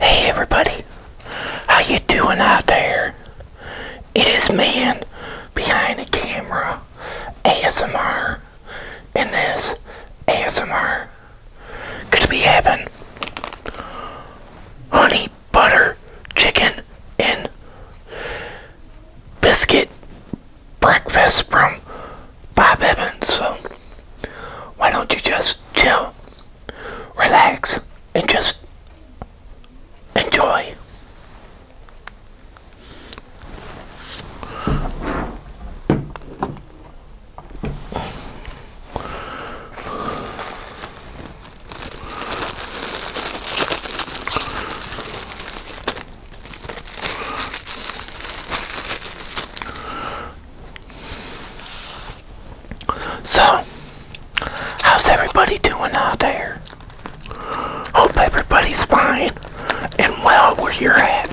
Hey everybody, how you doing out there? It is man behind the camera, ASMR, and this ASMR. going be having honey butter chicken and biscuit breakfast from Bob Evans. So why don't you just chill relax, and just enjoy. So, how's everybody doing out there? Hope everybody's fine and well where you're at.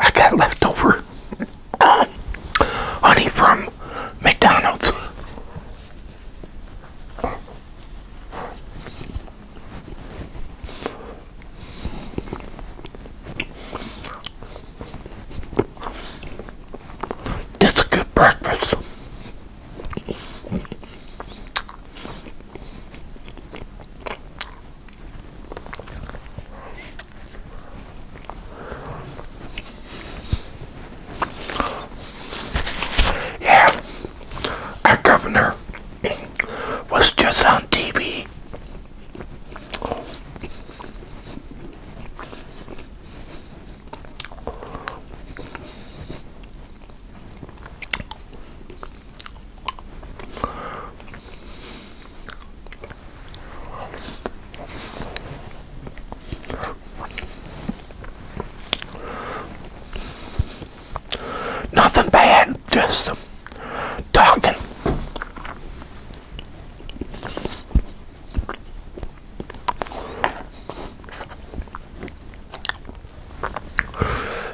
I got leftover honey from McDonald's. That's a good breakfast. Yeah, our governor was just on TV. Nothing bad, just talking.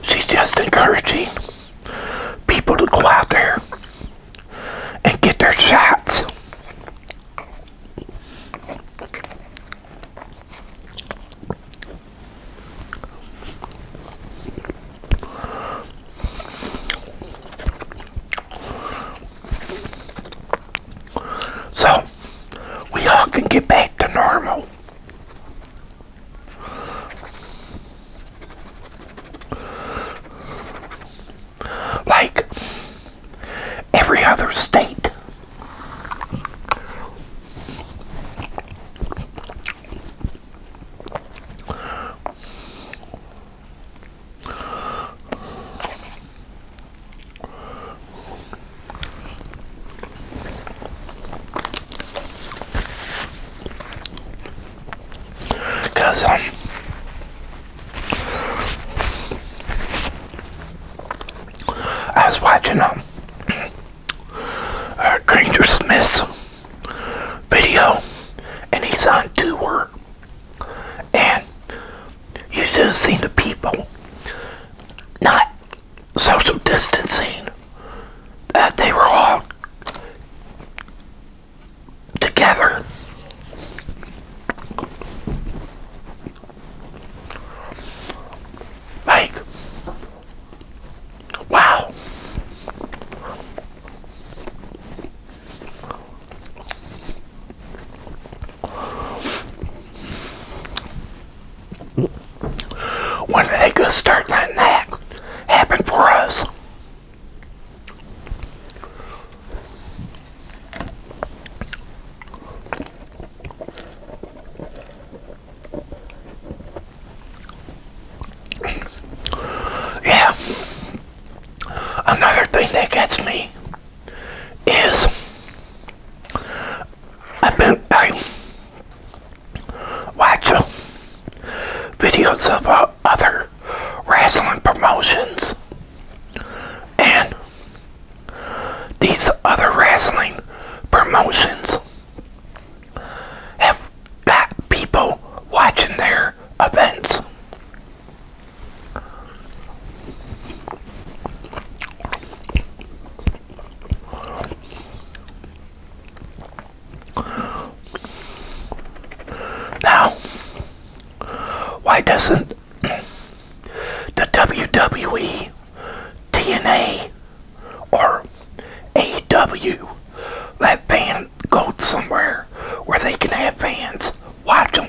She's just encouraging people to go out there and get their shots. So we all can get back to normal like every other state. Because, um, I was watching, um, uh, Granger Smith's video, and he's on tour, and you should have seen the people not social distancing. Uh, they were all together. Mike. wow. When are they going to start letting that happen for us? Yeah. Another thing that gets me is I've been I watch videos of uh, other wrestling promotions. And these other wrestling promotions have got people watching their events. Now, why doesn't the WWE, TNA, or AW let fans go somewhere where they can have fans watch them?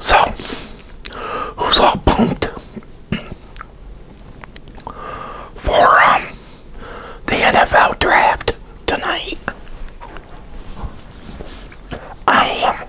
So, who's all pumped for um, the NFL draft tonight? I am.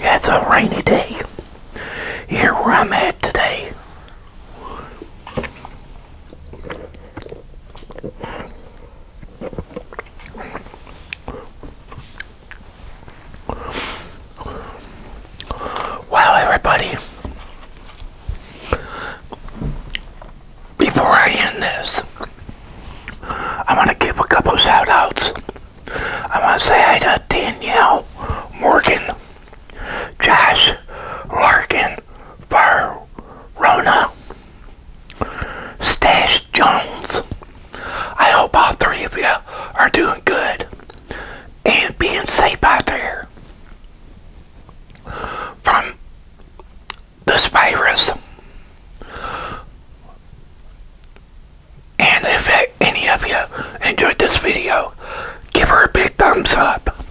it's a rainy day here where I'm at today. Wow, everybody before I end this, I want to give a couple shoutouts. I want to say hi to Danielle Morgan, Josh Larkin, Far Rona, Stash Jones. I hope all three of you are doing good and being safe out there. From the virus. And if any of you enjoyed this video, give her a big thumbs up.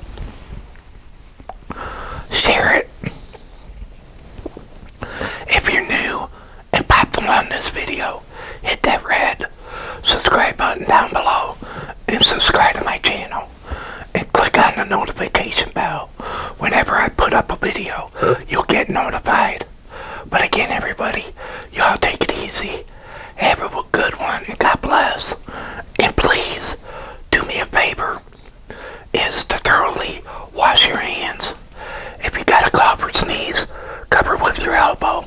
Share it. If you're new and popped on this video, hit that red subscribe button down below and subscribe to my channel. And click on the notification bell whenever I put up a video, you'll get notified. But again, everybody, y'all take it easy. Have a good one, and God bless. And please, do me a favor, is to thoroughly wash your hands. If you got a cough or sneeze, cover with your elbow.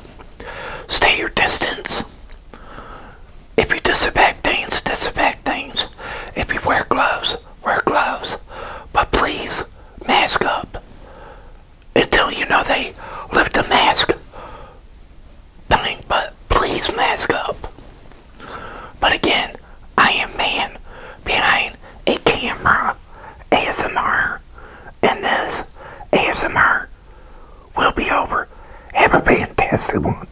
Stay your distance. If you disinfect things, disinfect things. If you wear gloves, wear gloves. But please, mask up. Until you know they lift the mask but please mask up. But again, I am man behind a camera ASMR, and this ASMR will be over. Have a fantastic one.